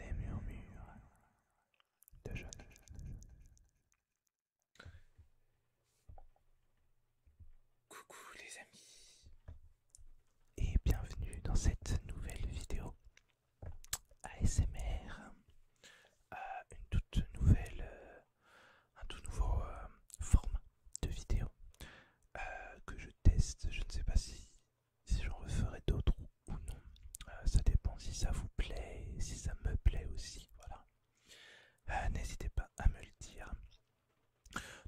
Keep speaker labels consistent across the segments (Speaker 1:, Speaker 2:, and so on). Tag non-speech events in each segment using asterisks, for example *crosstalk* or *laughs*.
Speaker 1: Les murmures de jeunes. Coucou les amis et bienvenue dans cette nouvelle vidéo ASMR. Euh, une toute nouvelle, euh, un tout nouveau euh, format de vidéo que je teste. Je ne sais pas si si j'en referais d'autres ou non. Euh, ça dépend si ça vous plaît, si ça me plaît aussi. Voilà. Euh, n'hésitez pas à me le dire.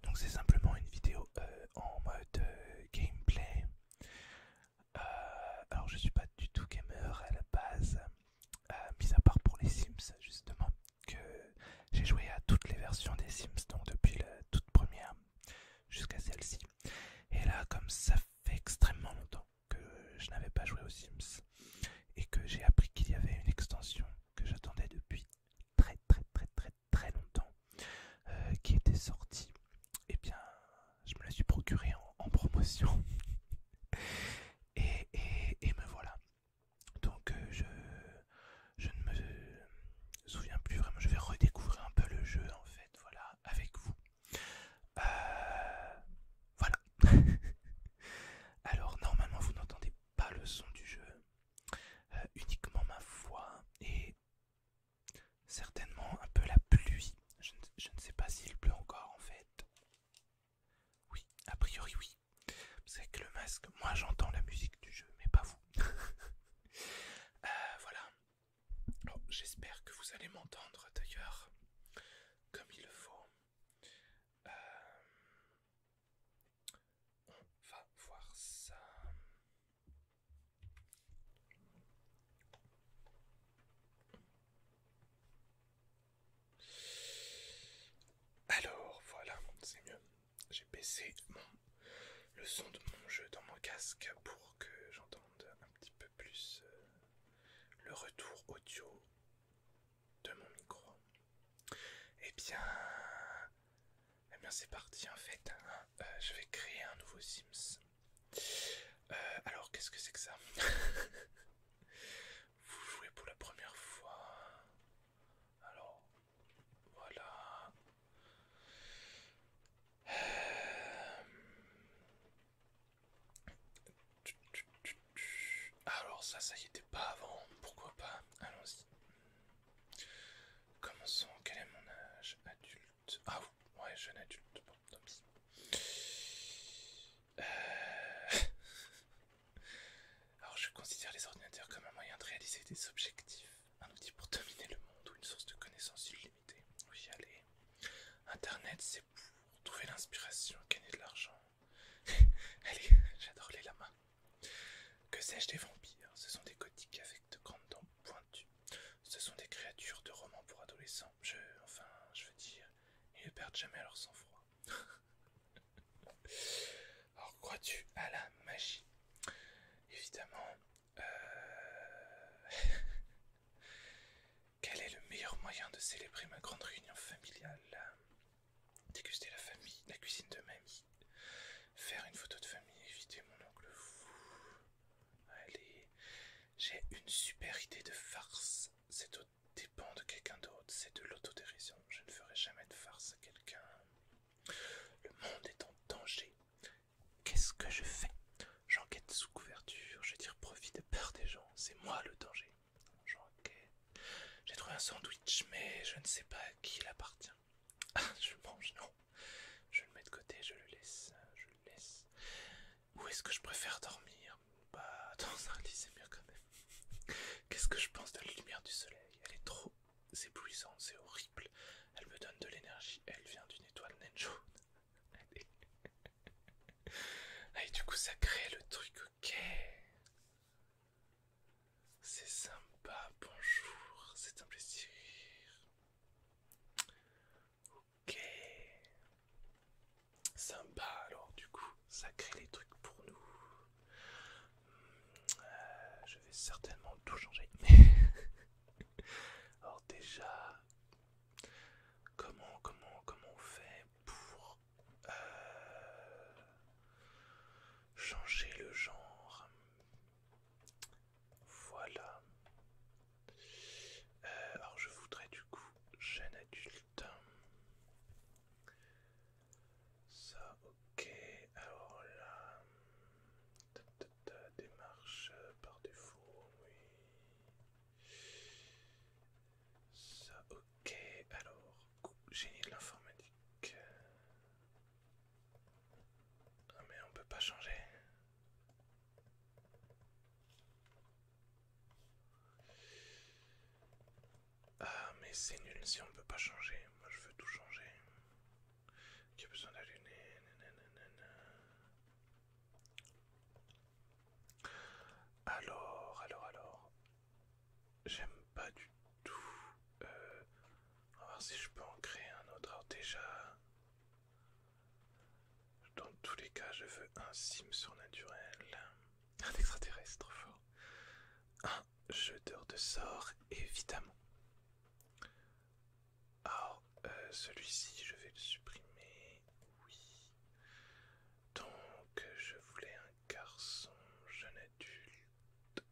Speaker 1: Donc c'est simplement une vidéo euh, en mode gameplay. alors je suis pas du tout gamer à la base, mis à part pour les Sims justement, que j'ai joué à toutes les versions des Sims, donc depuis la toute première jusqu'à celle-ci. Et là, comme ça fait extrêmement longtemps que je n'avais pas joué aux Sims et que j'ai appris qu'il y avait une extension que j'attendais depuis très très très très très longtemps euh, qui était sortie, et eh bien je me la suis procurée en, promotion. *laughs* et, me voilà. Donc euh, je je ne me souviens plus vraiment. Je vais redécouvrir un peu le jeu en fait, voilà, avec vous. Euh, voilà. *laughs* Alors normalement vous n'entendez pas le son du jeu, euh, uniquement ma voix et certainement un peu la pluie. Je ne, sais pas s'il pleut encore en fait. Oui, a priori oui. C'est que le masque, moi j'entends la musique du jeu, mais pas vous. Euh, voilà. J'espère que vous allez m'entendre d'ailleurs comme il le faut. Euh, on va voir ça. Alors voilà, c'est mieux j'ai baissé le son de mon jeu dans mon casque pour que j'entende un petit peu plus euh, le retour audio de mon micro. Et eh bien, eh bien c'est parti en fait. Hein. Euh, je vais créer un nouveau Sims. Euh, alors qu'est-ce que c'est que ça *laughs* Vous jouez pour la première fois. Alors, voilà. Alors ça, ça y était pas avant. Pourquoi pas Allons-y. Commençons. Quel est mon âge Adulte. Ah ouais, jeune adulte. Euh. *laughs* Alors je considère les ordinateurs comme un moyen de réaliser des objectifs. Un outil pour dominer le monde ou une source de connaissances illimitées Oui, allez. Internet, c'est pour trouver l'inspiration, gagner de l'argent. *laughs* allez, j'adore les lamas. Que sais-je des vampires Ce sont des gothiques avec de grandes dents pointues. Ce sont des créatures de romans pour adolescents. enfin, je veux dire, ils ne perdent jamais leur sang-froid. *laughs* Alors crois-tu à la magie Évidemment, euh, *laughs* quel est le meilleur moyen de célébrer ma grande réunion familiale Déguster la famille, la cuisine de mamie, faire une photo de famille, éviter mon oncle fou. Allez, j'ai une super idée de farce. C'est au dépend de quelqu'un d'autre, c'est de l'autodérision. Je ne ferai jamais de farce à quelqu'un. Le monde est en danger. Qu'est-ce que je fais J'enquête sous couverture, je tire profit de peur des gens, c'est moi le danger. J'enquête. J'ai trouvé un sandwich, mais je ne sais pas à qui il appartient. Ah, je mange, non. Je le mets de côté, je le laisse, je le laisse. Où est-ce que je préfère dormir Bah, dans un lit, c'est mieux quand même. Qu'est-ce que je pense de la lumière du soleil Elle est trop c'est puissant, c'est horrible. Elle me donne de l'énergie, elle vient d'une étoile naine jaune. Allez. *laughs* et du coup, ça crée le truc, ok. C'est sympa, bonjour, c'est un plaisir. Ok. Sympa, alors du coup, ça crée les trucs pour nous. Euh, je vais certainement tout changer. *laughs* Alors déjà, comment, comment, comment on fait pour euh, changer le genre Voilà. Euh, alors je voudrais du coup jeune adulte. Ça, ok. Alors là... Euh, démarche euh, par défaut, oui. Ça, ok. Alors, génie de l'informatique. Ah mais on peut pas changer. Ah mais c'est nul si on peut pas changer. Moi je veux tout changer qui a besoin d'allumer. Alors, alors, alors. J'aime pas du tout. on euh, va voir si je peux en créer un autre. Alors, déjà. Dans tous les cas, je veux un sim surnaturel. Un extraterrestre fort. Un jeteur de sort, évidemment. Alors, ah, euh, celui-ci, je vais le supprimer. Oui. Donc, je voulais un garçon jeune adulte.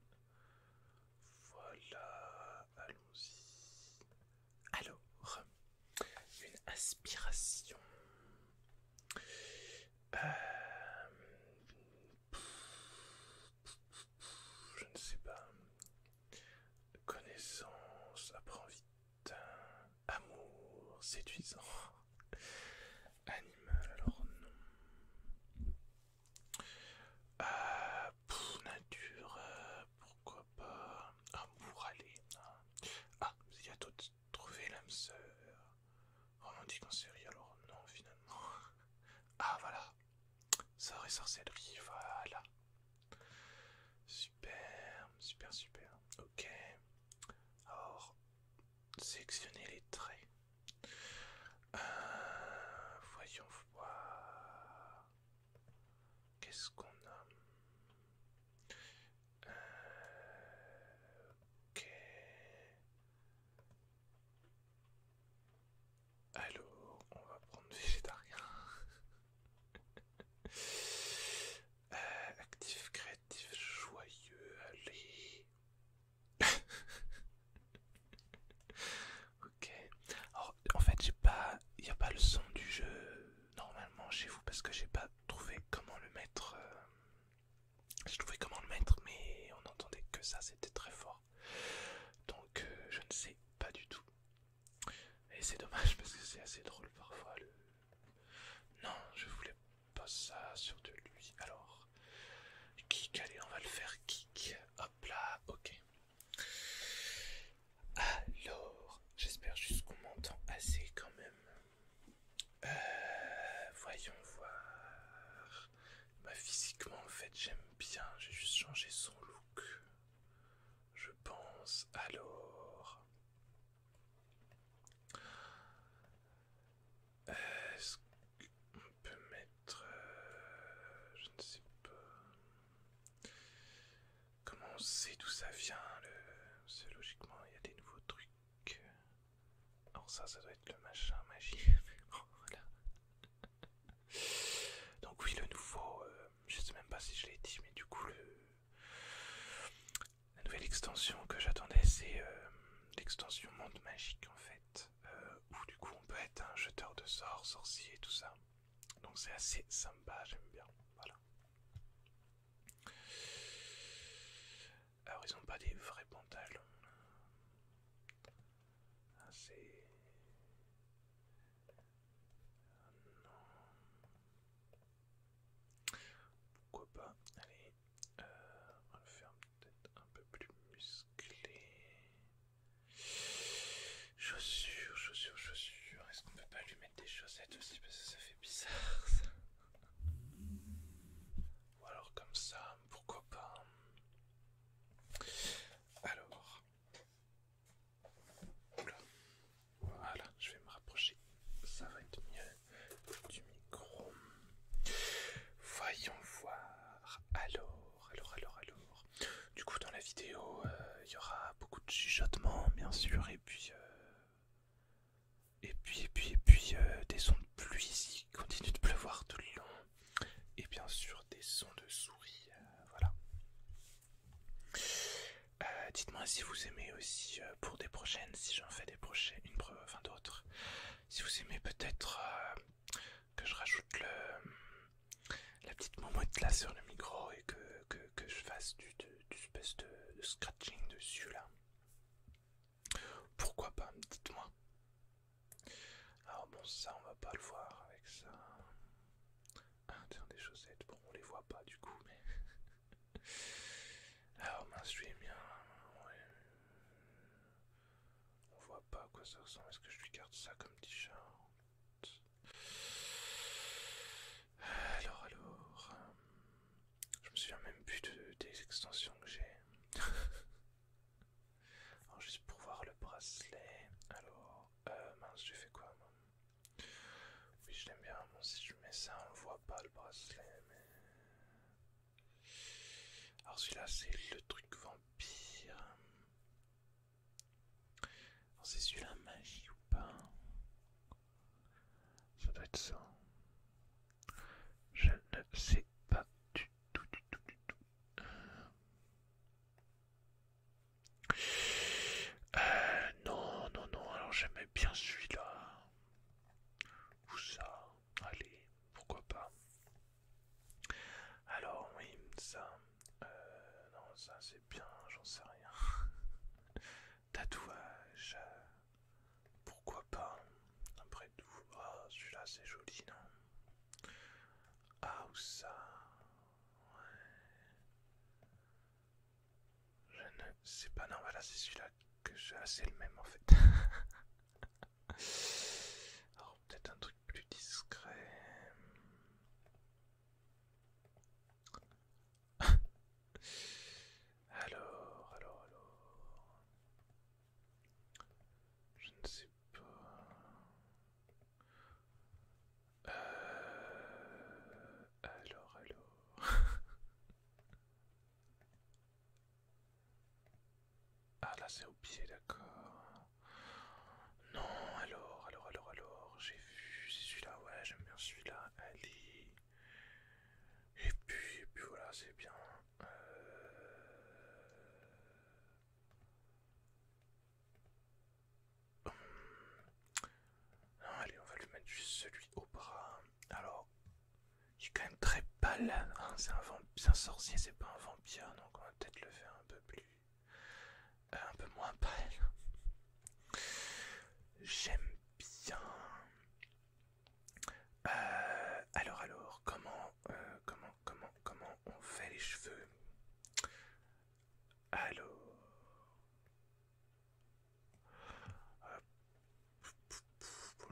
Speaker 1: Voilà, allons-y. Alors, une aspiration. Euh, je ne sais pas. Connaissance, apprend vite. Amour, séduisant. Animal, alors non. Ah, nature, euh, pourquoi pas. Amour, ah, allez. Hein. Ah, il y a d'autres. Trouver l'âme sœur. Romantique en série, alors non, finalement. Ah, voilà. Sort et sorcellerie, voilà. Super, super, super. Ok. Alors, sélectionnez les traits. Euh, voyons voir. Qu'est-ce qu'on a euh, Allô, on va prendre végétarien. *laughs* Euh, actif, créatif, joyeux, allez. *laughs* ok. Alors, en fait, j'ai pas, il n'y a pas le son du jeu normalement chez vous parce que j'ai pas trouvé comment le mettre. Euh, j'ai trouvé comment le mettre, mais on entendait que ça, c'était très fort. Donc euh, je ne sais pas du tout. Et c'est dommage parce que c'est assez drôle parfois Non, je voulais pas ça sur de lui. Alors, kick, allez, on va le faire kick. Hop là, ok. Alors, j'espère juste qu'on m'entend assez quand même. Euh, voyons voir. Bah, physiquement, en fait, j'aime bien. J'ai juste changé son look. Je pense. Alors. Est-ce qu'on peut mettre. Euh, je ne sais pas. Comment on sait d'où ça vient le... Parce logiquement, il y a des nouveaux trucs. Alors, ça, ça doit être le machin magique *laughs* voilà. Donc oui, le nouveau, euh, je sais même pas si je l'ai dit, mais du coup, la nouvelle extension que j'attendais, c'est euh, l'extension Monde Magique en fait, euh, où du coup on peut être un jeteur de sorts, sorcier et tout ça. Donc c'est assez sympa, j'aime bien. Alors ils ont pas des vrais pantalons. Ah, c'est. non. Pourquoi pas Allez, euh, on va le faire peut-être un peu plus musclé. Chaussures, chaussures, chaussures. Est-ce qu'on peut pas lui mettre des chaussettes aussi Parce que ça fait bizarre ça. Ou alors comme ça, pourquoi pas Alors, voilà, je vais me rapprocher. Ça va être mieux du micro. Voyons voir. Alors, alors, alors, alors. Du coup, dans la vidéo, euh, il y aura beaucoup de chuchotements, bien sûr, et puis... Euh, et puis, et puis, et puis, euh, des sons de pluie ici. continue de pleuvoir tout le long et bien sûr des sons de souris. Euh, voilà. Euh, dites-moi si vous aimez aussi euh, pour des prochaines, si j'en fais des prochaines, une enfin d'autres. Si vous aimez peut-être que je rajoute le, la petite momoette là sur le micro et que, je fasse du, du, espèce de scratching dessus là. Pourquoi pas, dites-moi. Alors ah, bon, ça, on va pas le voir avec ça. Ah, tiens, des chaussettes. Bon, on les voit pas du coup, mais... Alors mince, lui On voit pas à quoi ça ressemble. Est-ce que je lui garde ça comme t-shirt Alors, alors... Euh, je me souviens même plus de, des extensions que j'ai. *laughs* Alors, juste pour voir le bracelet. Alors, euh, mince, je fait quoi Oui, je l'aime bien. si je mets ça, on voit pas le bracelet. Alors, celui-là, c'est le truc vampire. c'est celui-là magie ou pas Ça doit être ça. Je ne sais pas du tout, du tout, du tout. Euh. Euh, non, non, non, alors j'aimais bien celui-là. Ou ça, allez, pourquoi pas. Alors oui, ça, euh, non, ça c'est bien, j'en sais rien. *laughs* Tatouage, euh, pourquoi pas. Après tout, ah, celui-là c'est joli, non ah oh, ou ça Ouais. Je ne sais pas. Non, voilà, c'est celui-là que j'ai, assez ah, c'est le même en fait. *laughs* Alors peut-être un truc plus discret. *laughs* alors, alors, alors. Je ne sais pas. Euh, alors, alors... *laughs* ah là c'est au pied, d'accord. Non, alors, alors, alors, alors, j'ai vu, c'est celui-là, ouais, j'aime bien celui-là, allez. Et puis, et puis voilà, c'est bien. Euh, allez, on va lui mettre juste celui au bras. Alors, il est quand même très pâle. Hein. c'est un, sorcier, c'est pas un vampire. Donc, on va peut-être le faire un peu plus. Euh, un peu moins pâle. J'aime bien. Euh, alors, alors, comment euh, comment, comment, comment, on fait les cheveux Alors...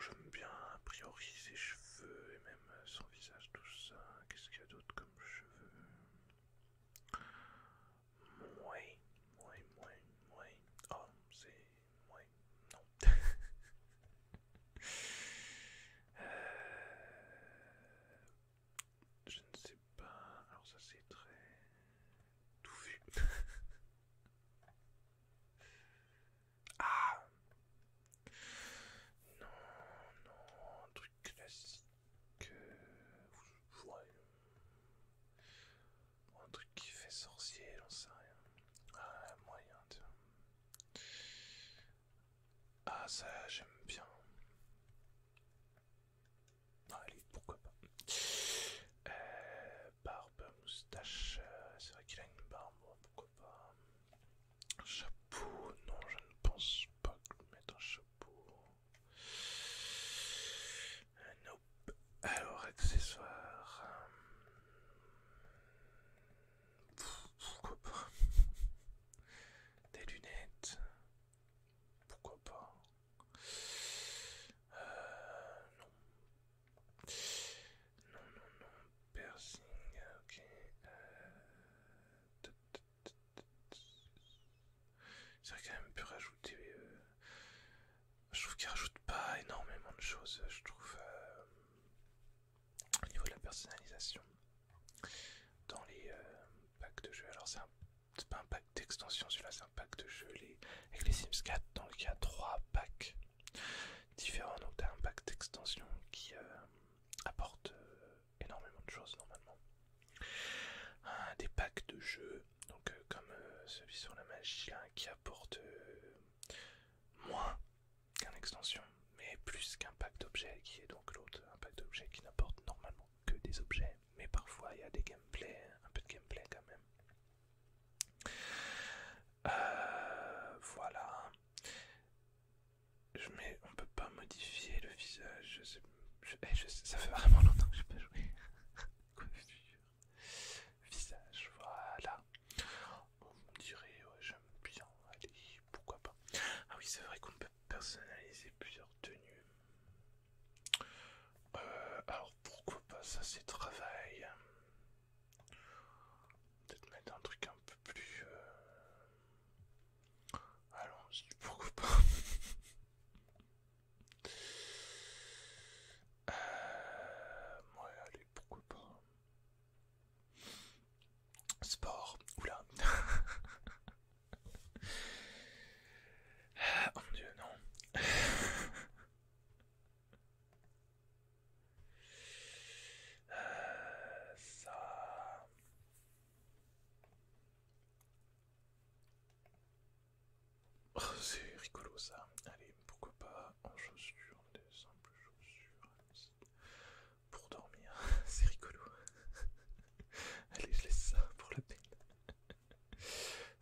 Speaker 1: J'aime bien a priori ses cheveux et même son visage, tout ça. Qu'est-ce qu'il y a d'autre comme cheveux Mouais, mouais, mouais, mouais. Oh, c'est... mouais, non. *laughs* Euh, je ne sais pas. Alors ça c'est très tout vu *laughs* ah non, non, un truc classique. Euh, ouais. Un truc qui fait sorcier, j'en sais rien. Ah, moyen, tiens. Ah ça j'aime bien. Ah, allez, pourquoi pas. Euh, barbe, moustache, euh, c'est vrai qu'il a une barbe, pourquoi pas. Chapeau, non je ne pense pas que je un chapeau. Euh, Alors accessoires pourquoi pas Des lunettes. Pourquoi pas euh, Non. Non, non, non. Piercing, ok. Euh... J'aurais quand même pu rajouter. Euh, je trouve qu'il rajoute pas énormément de choses, je trouve, euh, au niveau de la personnalisation dans les euh, packs de jeux. Alors, c'est pas un pack d'extension, celui-là, c'est un pack de jeux les, avec les Sims 4. Donc, il y a trois packs différents. Donc, tu un pack d'extension qui euh, apporte euh, énormément de choses normalement. des packs de jeux, donc comme celui sur la magie qui apporte moins qu'un extension mais plus qu'un pack d'objets qui est donc l'autre, un pack d'objets qui n'apporte normalement que des objets, mais parfois il y a des gameplay, un peu de gameplay quand même. Euh, voilà. Je, mais on peut pas modifier le visage. Eh, ça fait vraiment longtemps que j'ai pas joué. *laughs* Coiffure. Visage, voilà. On dirait, j'aime bien. Allez, pourquoi pas. Ah oui, c'est vrai qu'on peut personnaliser plusieurs tenues. Euh, alors pourquoi pas ça c'est travail. Peut-être mettre un truc un peu plus... Euh, allons pourquoi pas. *laughs* Euh, allez, pourquoi pas. Sport, oula. *laughs* oh mon dieu, non. *laughs* Euh, ça. Oh, c'est rigolo ça. Allez, pourquoi pas en chaussures, des simples chaussures pour dormir. *laughs* C'est rigolo. *laughs* Allez, je laisse ça pour le peine.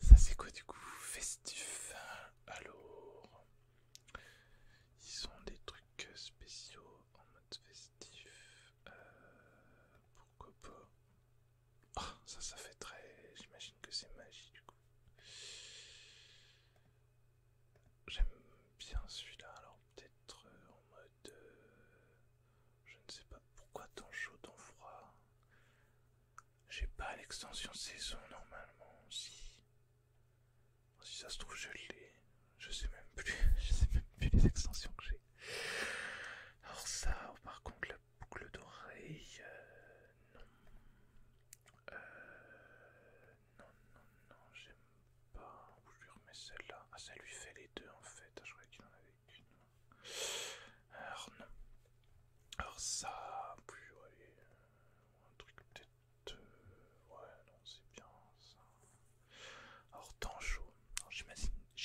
Speaker 1: Ça c'est quoi du coup Festif. Alors, ils ont des trucs spéciaux en mode festif. Euh, pourquoi pas ah, ça, ça fait très. J'imagine que c'est magie du coup. J'aime bien celui-là. Alors peut-être euh, en mode de... Je ne sais pas pourquoi tant chaud, tant froid. J'ai pas l'extension saison normalement. Si, si ça se trouve je l'ai. Je sais même plus. *laughs* Je sais même plus les extensions que j'ai. Alors ça, oh, par contre, la boucle d'oreille, euh, non. Euh, non, non, non, j'ai pas. Bah, je lui remets celle-là. Ah, ça lui fait les deux en fait. Ah, je croyais qu'il en avait qu'une. Alors, non. Alors, ça. Puis, euh, ouais, un truc peut-être. Euh, ouais, non, c'est bien ça. Alors, temps chaud.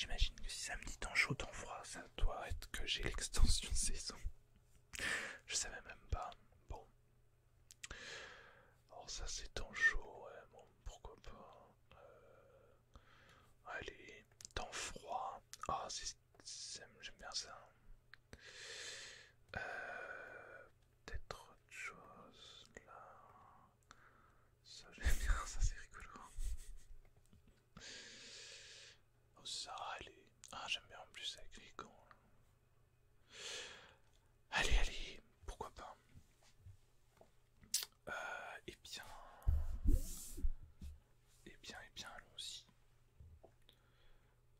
Speaker 1: J'imagine que si ça me dit temps chaud, froid, ça doit être que j'ai l'extension *laughs* saison. Je savais même pas. Bon. Alors ça c'est temps chaud, pourquoi pas. Hein. Euh, allez, temps froid. Ah, j'aime bien ça. Euh, peut-être autre chose là. Ça j'aime bien, *laughs* ça c'est rigolo. Oh ça, allez. Ah, j'aime bien en plus avec rigolo, hein. Allez, allez, pourquoi pas et euh, eh bien, et eh bien, et eh bien, allons-y.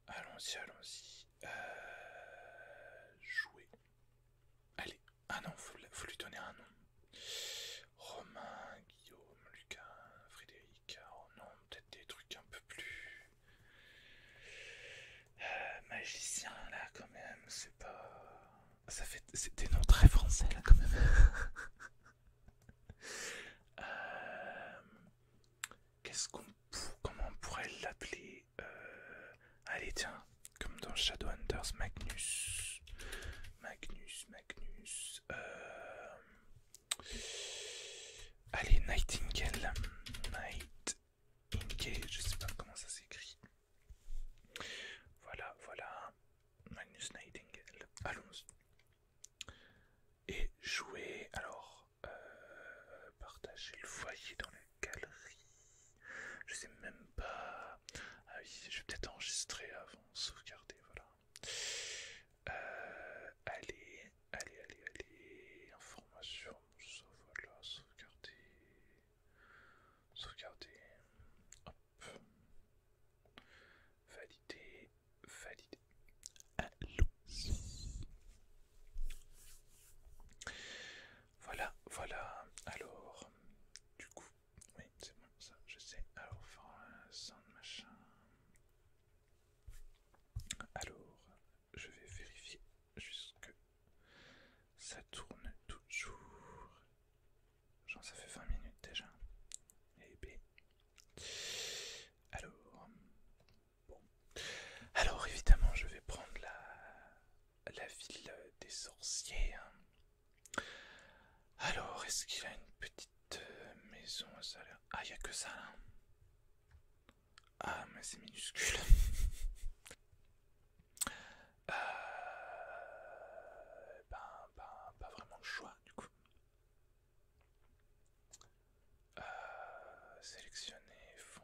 Speaker 1: Allons-y, allons-y. Euh, jouer. Allez, ah non, faut, faut lui donner un nom. Romain, Guillaume, Lucas, Frédéric. Oh non, peut-être des trucs un peu plus euh, magicien là quand même. C'est pas ça fait des noms très français là quand même. *laughs* Euh, qu'est-ce qu'on comment on pourrait l'appeler euh, Allez tiens, comme dans Shadowhunters, Magnus, Magnus, Magnus. Euh, allez Nightingale, Night ok je sais pas comment ça s'écrit. Voilà, voilà, Magnus Nightingale, allons-y. Et jouer, alors, euh, partager le foyer dans la galerie, je sais même pas. Ah oui, je vais peut-être enregistrer avant, sauvegarder, voilà. Euh, allez, allez, allez, allez, information, ça voilà, sauvegarder. Sauvegarder. Valider. Valider. Allô. Voilà, voilà. Alors, du coup, oui, c'est bon, ça, je sais. Alors, faire un machin. Alors, je vais vérifier jusque ça tourne toujours. Genre ça fait 20 minutes déjà. Et Alors... Bon. Alors évidemment je vais prendre la, la ville des sorciers. Hein. Alors est-ce qu'il a une petite euh, maison ça Ah il n'y a que ça là. Ah mais c'est minuscule. *laughs* Euh, ben, ben, pas vraiment le choix du coup. Euh, sélectionner fonds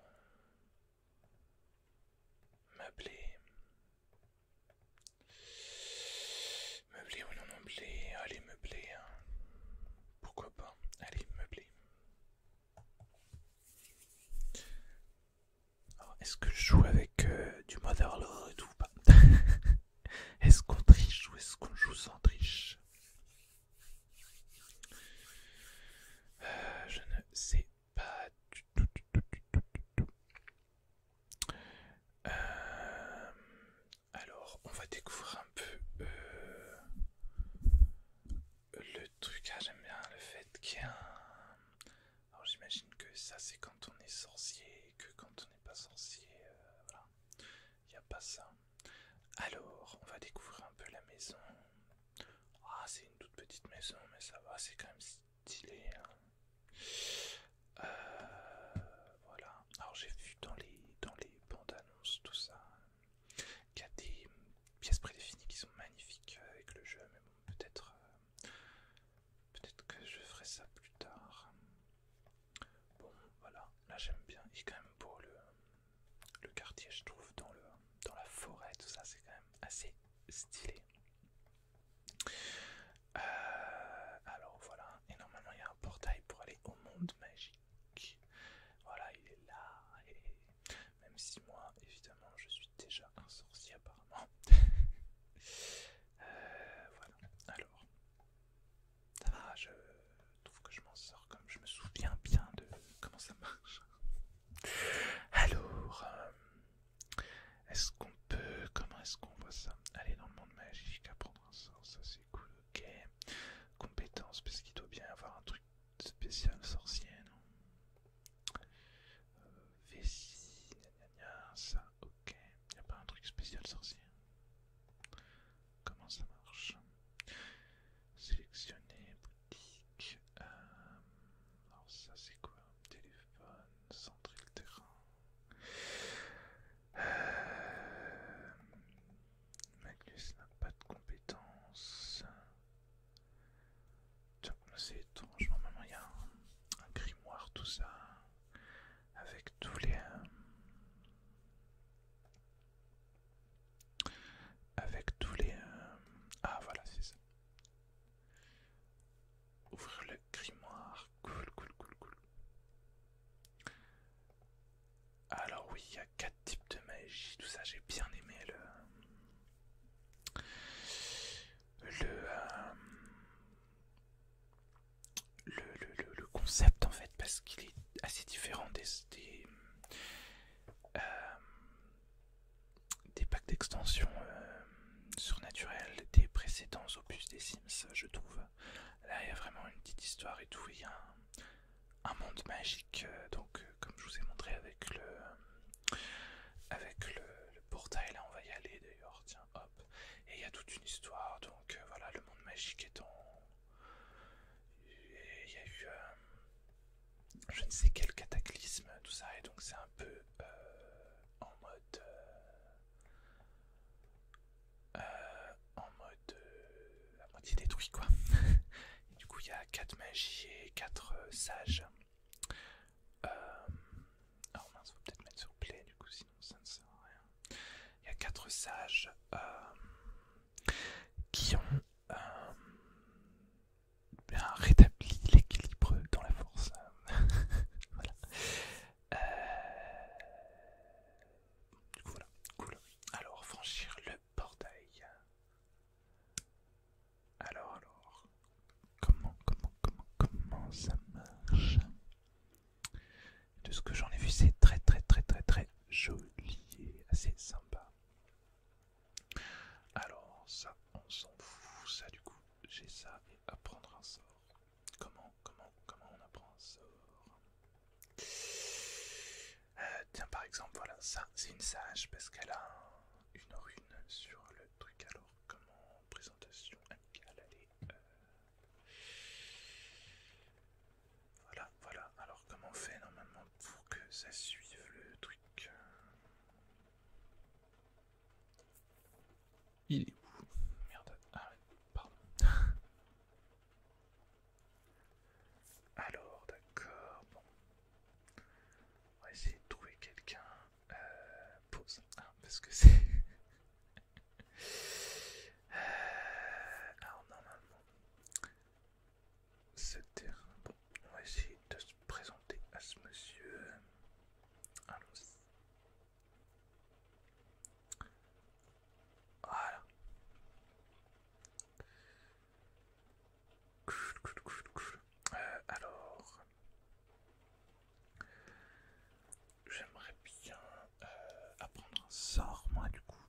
Speaker 1: meubler, meubler ou non meubler, allez meubler, hein. pourquoi pas, allez meubler. Est-ce que je joue avec euh, du du Motherlore et tout ou pas *laughs* Est-ce qu'on triche ou est-ce qu'on joue sans triche euh, Je ne sais pas euh, alors, on va découvrir un peu le truc ah, j'aime bien le fait qu'il y a Alors j'imagine que ça c'est quand on est sorcier, que quand on n'est pas sorcier, euh, voilà, il n'y a pas ça. Alors, on va découvrir un peu la maison. Ah, c'est une toute petite maison, mais ça va, c'est quand même stylé. Hein. Euh, voilà. Alors j'ai vu dans les dans les bandes annonces tout ça qu'il y a des pièces prédéfinies qui sont magnifiques euh, avec le jeu, mais bon, peut-être peut-être que je ferai ça plus tard. Bon, voilà. Là, j'aime bien. Il est quand même beau le, le quartier, je trouve, dans, le, dans la forêt. Tout ça, c'est quand même assez stylé. Euh, alors voilà. Et normalement, il y a un portail pour aller au monde magique. Voilà, il est là. Et même si moi, évidemment, je suis déjà un sorcier apparemment. *laughs* Euh, voilà, alors. Ça va, je trouve que je m'en sors comme je me souviens bien de comment ça marche. Alors, euh, est-ce qu'on peut... Comment est-ce qu'on voit ça Aller dans le monde magique, apprendre un sort, ça c'est cool, ok. Compétences, parce qu'il doit bien avoir un truc spécial sorcier, non VC. Euh, vessie, ça, ok. Y a pas un truc spécial sorcier Comment ça marche Sélectionner boutique. Euh, alors ça c'est quoi Téléphone, centrer le terrain. Euh, Magnus n'a pas de compétences c'est étrange, normalement il y a un, grimoire, tout ça, avec tous les... Euh, avec tous les... Euh, ah voilà, c'est ça. Ouvrir le grimoire, cool, cool, cool, cool. Alors oui, il y a quatre types de magie, tout ça, j'ai bien aimé le... Euh, le, le, concept en fait parce qu'il est assez différent des, euh, packs d'extension euh, surnaturel des précédents opus des Sims je trouve. Là il y a vraiment une petite histoire et tout, il y a un, monde magique donc comme je vous ai montré avec le, avec le, portail là on va y aller d'ailleurs tiens hop et il y a toute une histoire donc euh, voilà le monde magique est en il y a eu euh, je ne sais quel cataclysme tout ça et donc c'est un peu euh, en mode en mode la à moitié détruit quoi *laughs* du coup il y a quatre magies et quatre sages euh, ah, oh Il y a quatre sages euh, qui ont euh, rétabli l'équilibre dans la force. *laughs* Alors, franchir le portail. Alors, alors, comment, comment, comment, comment ça marche De ce que j'en ai vu, c'est très, très, très, très, très joli et assez sympa. Alors, ça, on s'en fout. Ça, du coup, j'ai ça et apprendre un sort. Comment, comment, comment on apprend un sort euh, Tiens, par exemple, voilà, ça, c'est une sage parce qu'elle a une rune sur le truc alors comment... présentation amicale allez euh, voilà voilà alors comment on fait normalement pour que ça suive le truc il est où merde ah, pardon *laughs* alors d'accord bon on va essayer de trouver quelqu'un euh, pause ah, parce que c'est alors *laughs* ah, normalement ce terrain bon on va essayer de se présenter à ce monsieur allons-y voilà euh, alors, j'aimerais bien euh, apprendre un sort, moi, du coup.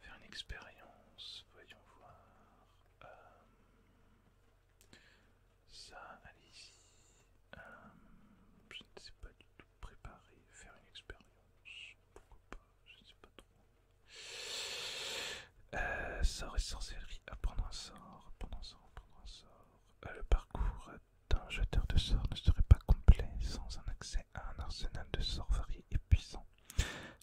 Speaker 1: Faire une expérience, voyons voir. Euh, ça, allez-y. je ne sais pas du tout préparer, faire une expérience, pourquoi pas, je ne sais pas trop. Euh, sort et sorcellerie. Apprendre ah, un sort, apprendre un sort, apprendre un sort. Euh, le parcours d'un jeteur de sorts ne serait pas complet sans un accès à un arsenal de sorts variés et puissants.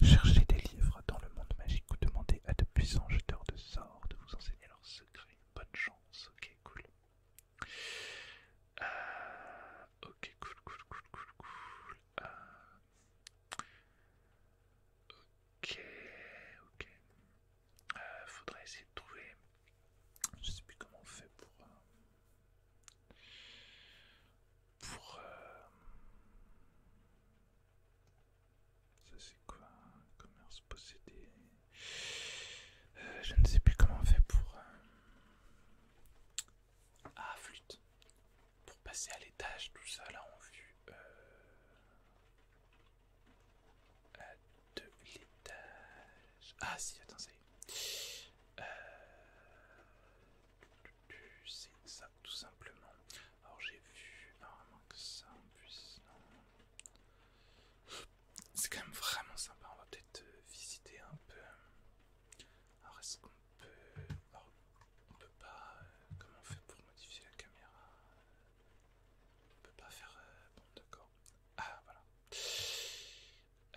Speaker 1: Cherchez des livres dans le monde magique ou demandez à de puissants jeteurs de sorts de vous enseigner leurs secrets. Bonne chance, ok, cool. Euh, ok, cool, cool, cool, cool, Ok, ok. Euh, faudrait essayer de trouver. Je sais plus comment on fait pour. Euh, pour. Euh, ça c'est quoi Commerce possédé. je ne sais plus comment on fait pour. Ah, flûte. Pour passer à l'étage, tout ça là en vue de l'étage. Ah si, attends, ça y est. Euh, c'est ça, tout simplement. Alors j'ai vu vraiment que ça en puisse. C'est quand même vraiment sympa. On va peut-être euh, visiter un peu. Alors est-ce qu'on peut. on peut pas. Euh, comment on fait pour modifier la caméra on peut pas faire... Euh, bon d'accord. Ah voilà.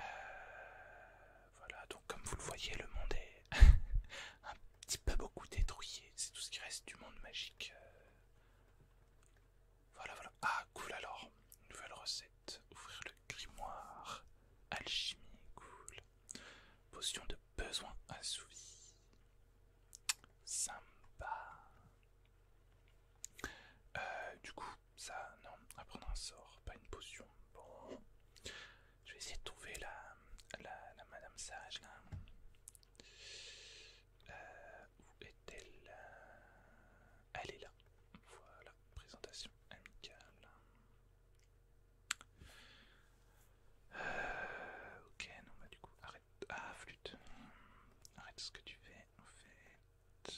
Speaker 1: Euh, voilà, donc comme vous le voyez, le monde est *laughs* un petit peu beaucoup détruit. C'est tout ce qui reste du monde magique. Euh. voilà, voilà. Ah, cool alors. Nouvelle recette. Ouvrir le grimoire. Alchimie, cool. Potion de besoin assouvi. Sympa. Euh, du coup, ça, non, à prendre un sort, pas une potion. Bon, je vais essayer de trouver la, la, Madame Sage là. Euh, où est-elle Elle est là. Voilà, présentation amicale. Euh, ok, non, bah du coup, arrête. Ah, flûte. Arrête ce que tu fais, en fait.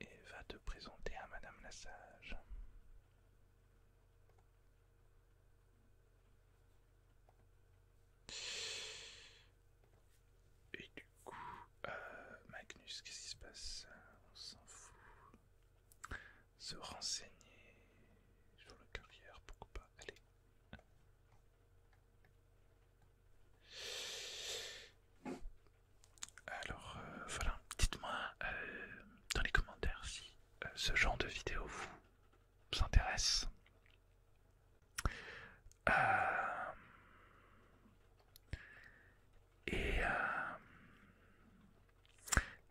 Speaker 1: Et va te présenter à Madame la Sage. Et du coup, euh, Magnus, qu'est-ce qui se passe On s'en fout se renseigner sur la carrière, pourquoi pas, allez. Alors euh, voilà, dites-moi euh, dans les commentaires si euh, ce genre de vidéo vous intéresse. et,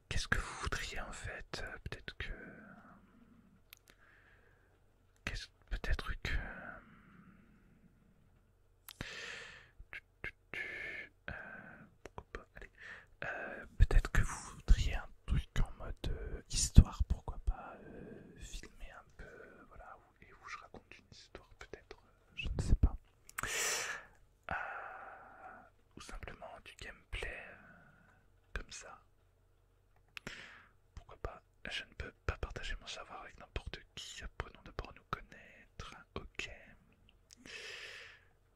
Speaker 1: Qu'est-ce que vous voudriez en fait euh, Peut-être que... Euh, peut-être que... Euh, pourquoi pas Allez. Peut-être que vous voudriez un truc en mode histoire, pourquoi pas filmer un peu, voilà, et où je raconte une histoire peut-être, je ne sais pas. ou simplement du gameplay, comme ça. Pourquoi pas Je ne peux pas partager mon savoir avec n'importe qui. Apprenons d'abord à nous connaître. Ok.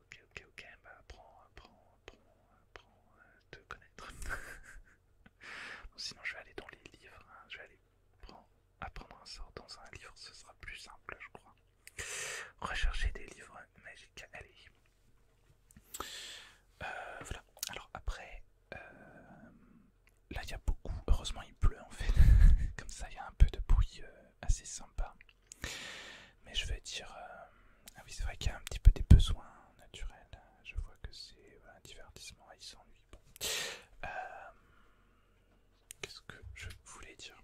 Speaker 1: Ok, ok, ok. Bah, apprends, apprends, apprends, apprends te connaître. *laughs* sinon, je vais aller dans les livres. Hein. Je vais aller apprendre un sort dans un livre. Ce sera plus simple, je crois. Rechercher des livres magiques. Allez. Euh, voilà, alors après, euh, là il y a beaucoup, heureusement il pleut en fait, *laughs* comme ça il y a un peu de bruit euh, assez sympa. Mais je veux dire, ah oui c'est vrai qu'il y a un petit peu des besoins naturels, je vois que c'est un divertissement, il s'ennuie. Qu'est-ce que je voulais dire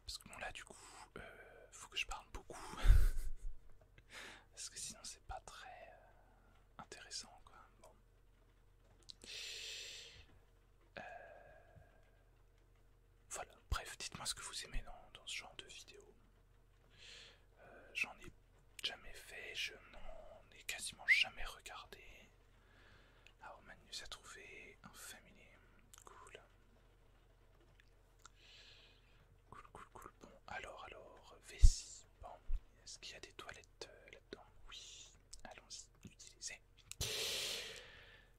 Speaker 1: parce que bon là du coup, euh, faut que je parle beaucoup. *laughs* Parce que sinon c'est pas très euh, intéressant quoi. Bon. Euh, voilà, bref, dites-moi ce que vous aimez dans, ce genre de vidéo. Euh, j'en ai jamais fait, je n'en ai quasiment jamais regardé. Alors Magnus a trouvé un familier, cool. Cool, cool, cool. Bon, alors, alors, vessie. Bon, est-ce qu'il y a des toilettes euh, là-dedans Oui, allons-y, utilisez.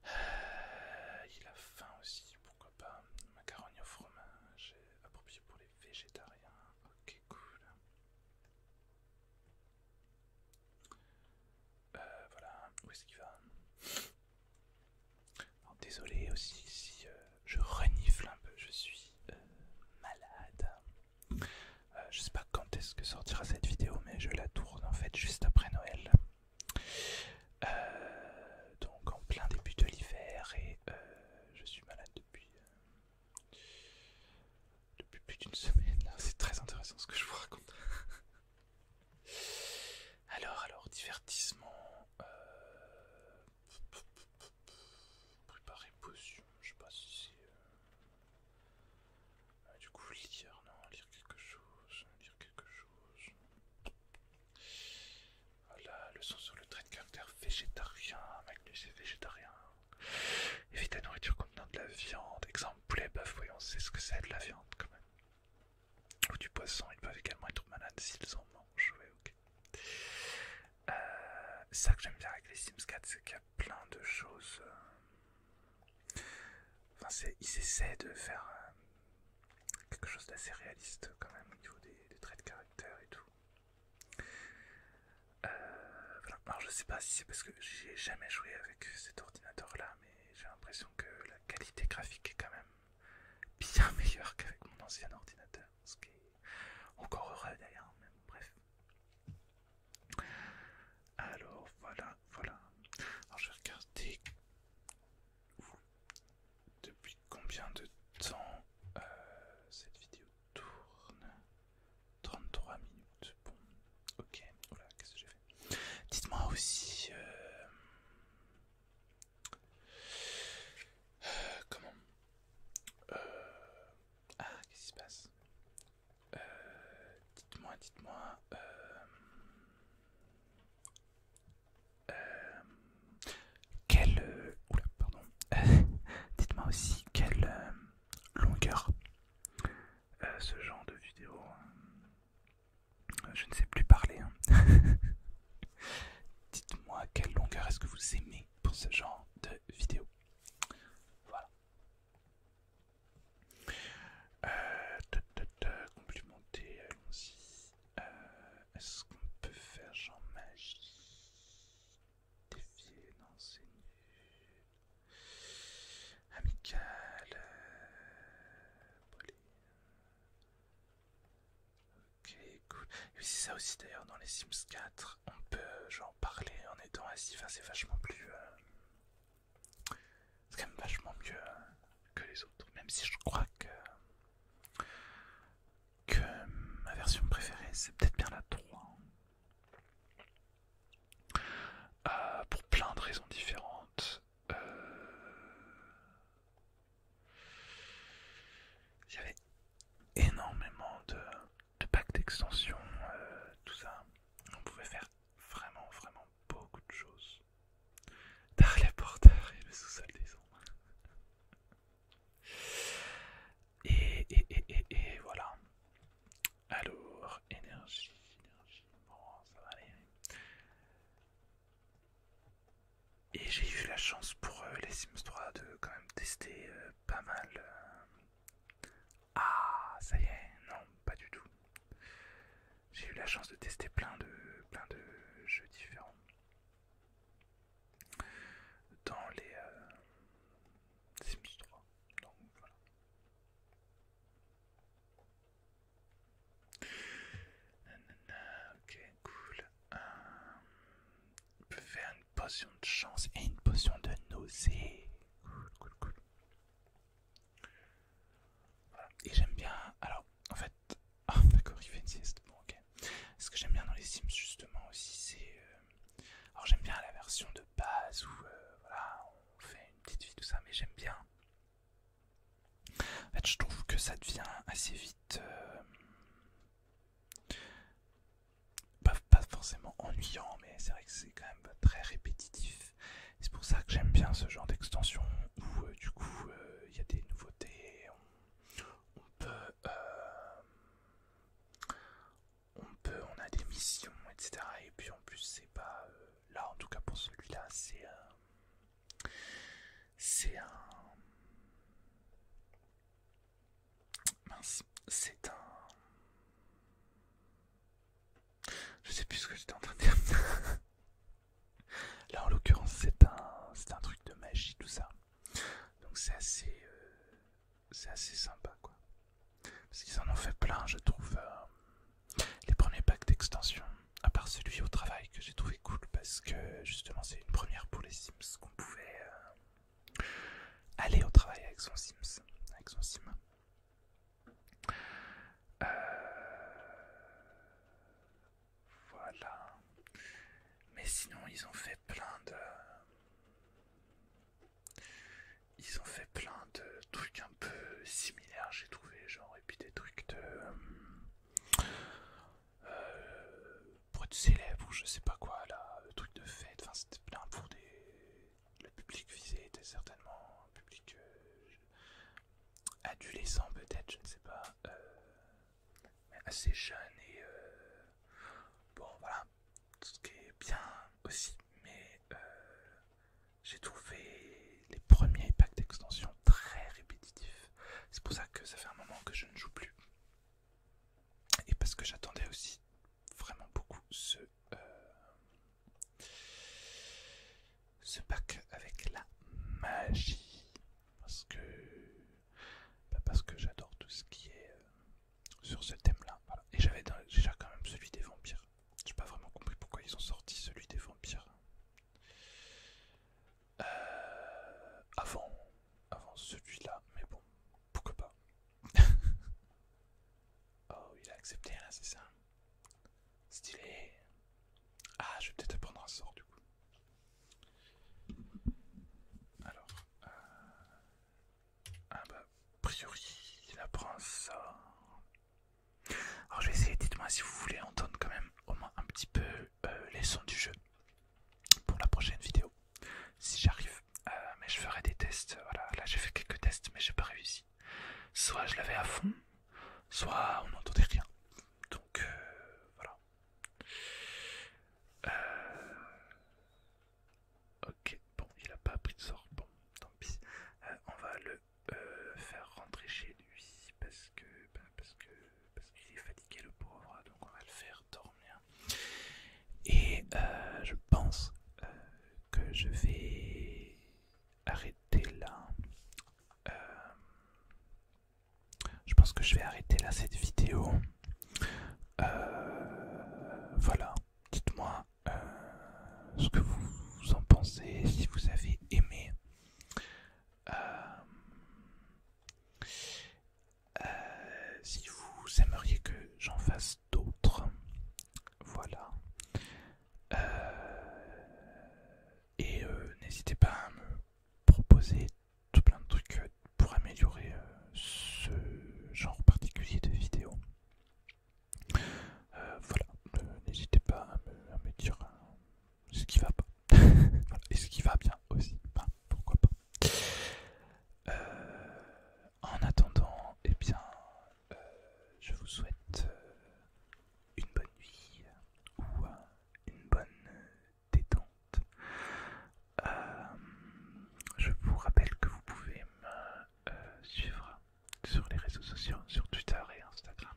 Speaker 1: Euh, il a faim aussi, pourquoi pas. Macaroni au fromage, euh, approprié pour les végétariens. Ok, cool. Euh, voilà, où est-ce qu'il va Désolé aussi si euh, je renifle un peu, je suis euh, malade. je sais pas quand est-ce que sortira cette vidéo, mais je la tourne en fait juste après Noël. donc en plein début de l'hiver et je suis malade depuis plus d'une semaine. *laughs* C'est très intéressant ce que je vous raconte. *laughs* Alors, alors, divertissement. Euh, préparer potion, je sais pas si c'est. Euh, ah, du coup, lire, non, lire quelque chose, lire quelque chose. Voilà, leçon sur le trait de caractère végétarien, et végétarien. Évite la nourriture contenant de la viande, exemple poulet, bœuf, on sait ce que c'est de la viande quand même ou du poisson, ils peuvent également être malades s'ils en mangent. ok. Euh, ça que j'aime bien avec les Sims 4, c'est qu'il y a plein de choses. Euh, enfin, ils essaient de faire euh, quelque chose d'assez réaliste quand même au niveau des, traits de caractère et tout. Alors je sais pas si c'est parce que j'ai jamais joué avec cet ordinateur là, mais j'ai l'impression que la qualité graphique est quand même bien *laughs* meilleur qu'avec mon ancien ordinateur, ce qui est encore heureux d'ailleurs, bref. Alors voilà, voilà. Alors je vais regarder depuis combien de temps euh, cette vidéo tourne. 33 minutes. Bon, ok. Voilà, qu'est-ce que j'ai fait Dites-moi aussi. Euh, comment euh, Ah, qu'est-ce qui se passe euh, Dites-moi, dites-moi. Euh, quelle. Oula, pardon. *laughs* dites-moi aussi quelle longueur ce genre de vidéo. Hein. Je ne sais plus parler. Hein. *laughs* Dites-moi quelle longueur est-ce que vous aimez pour ce genre de vidéo. Voilà. Euh, complimenter, allons-y. Euh, est-ce qu'on peut faire genre magie Défier, non, Amical. Euh, Ok, écoute. c'est ça aussi d'ailleurs, dans les Sims 4, on peut en parler en étant assis, c'est vachement plus... Euh, c'est quand même vachement mieux euh, que les autres, même si je crois que... que ma version préférée, c'est peut-être bien la 3. Euh, pour plein de raisons différentes. Euh, j'avais énormément de, packs d'extension, euh, tout ça. On pouvait faire vraiment, vraiment beaucoup de choses. par les et le sous-sol des Et, et, et, et, et voilà. Alors, énergie, énergie, ça va aller. Et j'ai eu la chance pour euh, les Sims 3 de quand même tester euh, pas mal. Euh. Ah, ça y est, non, pas du tout. J'ai eu la chance de tester plein de, plein de jeux différents dans les Sims 3. Donc voilà ok, cool. Euh, on peut faire une potion de chance et une potion de nausée. Cool, cool, cool. Et j'aime bien. Alors, en fait. *laughs* Ah, d'accord, il fait une sieste. Bon, ok. Ce que j'aime bien dans les Sims, justement, aussi, c'est. Euh, alors, j'aime bien la version de base où, euh, voilà, on fait une petite vie, tout ça, mais j'aime bien en fait, je trouve que ça devient assez vite. Euh, pas, forcément ennuyant, mais c'est vrai que c'est quand même très répétitif. C'est pour ça que j'aime bien ce genre d'extension où, euh, du coup, euh, il y a des nouveautés. On, peut. on peut, on a des missions, etc. Et puis en plus, c'est pas. là, en tout cas pour celui-là, c'est. C'est un. Mince, c'est un. Je sais plus ce que j'étais en train de dire. *laughs* Là en l'occurrence, c'est un, un truc de magie, tout ça. Donc c'est assez. Euh, c'est assez sympa quoi. Parce qu'ils en ont fait plein, je trouve. Euh, les premiers packs d'extension, à part celui au travail que j'ai trouvé cool parce que justement c'est une première pour les Sims qu'on pouvait euh, aller au travail avec son Sims, avec son Sim. Euh, voilà. Mais sinon ils ont fait plein de... Ils ont fait plein de trucs un peu similaires j'ai trouvé, genre et puis des trucs de... Euh, pour être célèbre ou je sais pas quoi, là, le truc de fête, enfin c'était plein pour des... Le public visé était certainement un public euh, adolescent peut-être, je ne sais pas, euh, mais assez jeune et... bon voilà, tout ce qui est bien aussi, mais j'ai trouvé les, premiers packs d'extension très répétitifs. C'est pour ça que ça fait un moment que je ne joue plus. Et parce que j'attendais aussi vraiment beaucoup ce, euh, ce pack avec la magie. Parce que, bah, parce que j'adore tout ce qui est euh, sur ce thème-là. Et j'avais déjà quand même celui des vampires. J'ai pas vraiment compris pourquoi ils ont sorti celui des vampires. Euh, avant, avant celui-là, mais bon, pourquoi pas. *laughs* oh, il a accepté là, hein, c'est ça. Stylé. Ah, je vais peut-être prendre un sort du coup. Alors, euh, ah bah, a priori, il apprend ça. Alors je vais essayer, dites-moi si vous voulez entendre quand même au moins un petit peu euh, les sons du jeu pour la prochaine vidéo, si j'arrive. Euh, mais je ferai des tests, voilà, là j'ai fait quelques tests mais j'ai pas réussi. Soit je l'avais à fond, soit on n'entendait rien. Donc euh, voilà. Ok, bon, il a pas pris de sort, bon, tant pis. on va le euh, faire rentrer chez lui parce que ben, parce que qu'il est fatigué le pauvre hein, donc on va le faire dormir et euh, je pense euh, que je vais arrêter là je pense que je vais arrêter là cette vidéo voilà dites-moi ce que vous en pensez si vous avez aimé euh, euh, si vous aimeriez que j'en fasse d'autres, voilà. Euh, et n'hésitez pas à me proposer tout plein de trucs pour améliorer ce genre particulier de vidéo. voilà, n'hésitez pas à me, dire ce qui va pas et ce qui va bien aussi, pourquoi pas. Euh, en attendant, eh bien, euh, je vous souhaite euh, une bonne nuit ou une bonne détente. je vous rappelle que vous pouvez me suivre sur les réseaux sociaux, sur Twitter et Instagram.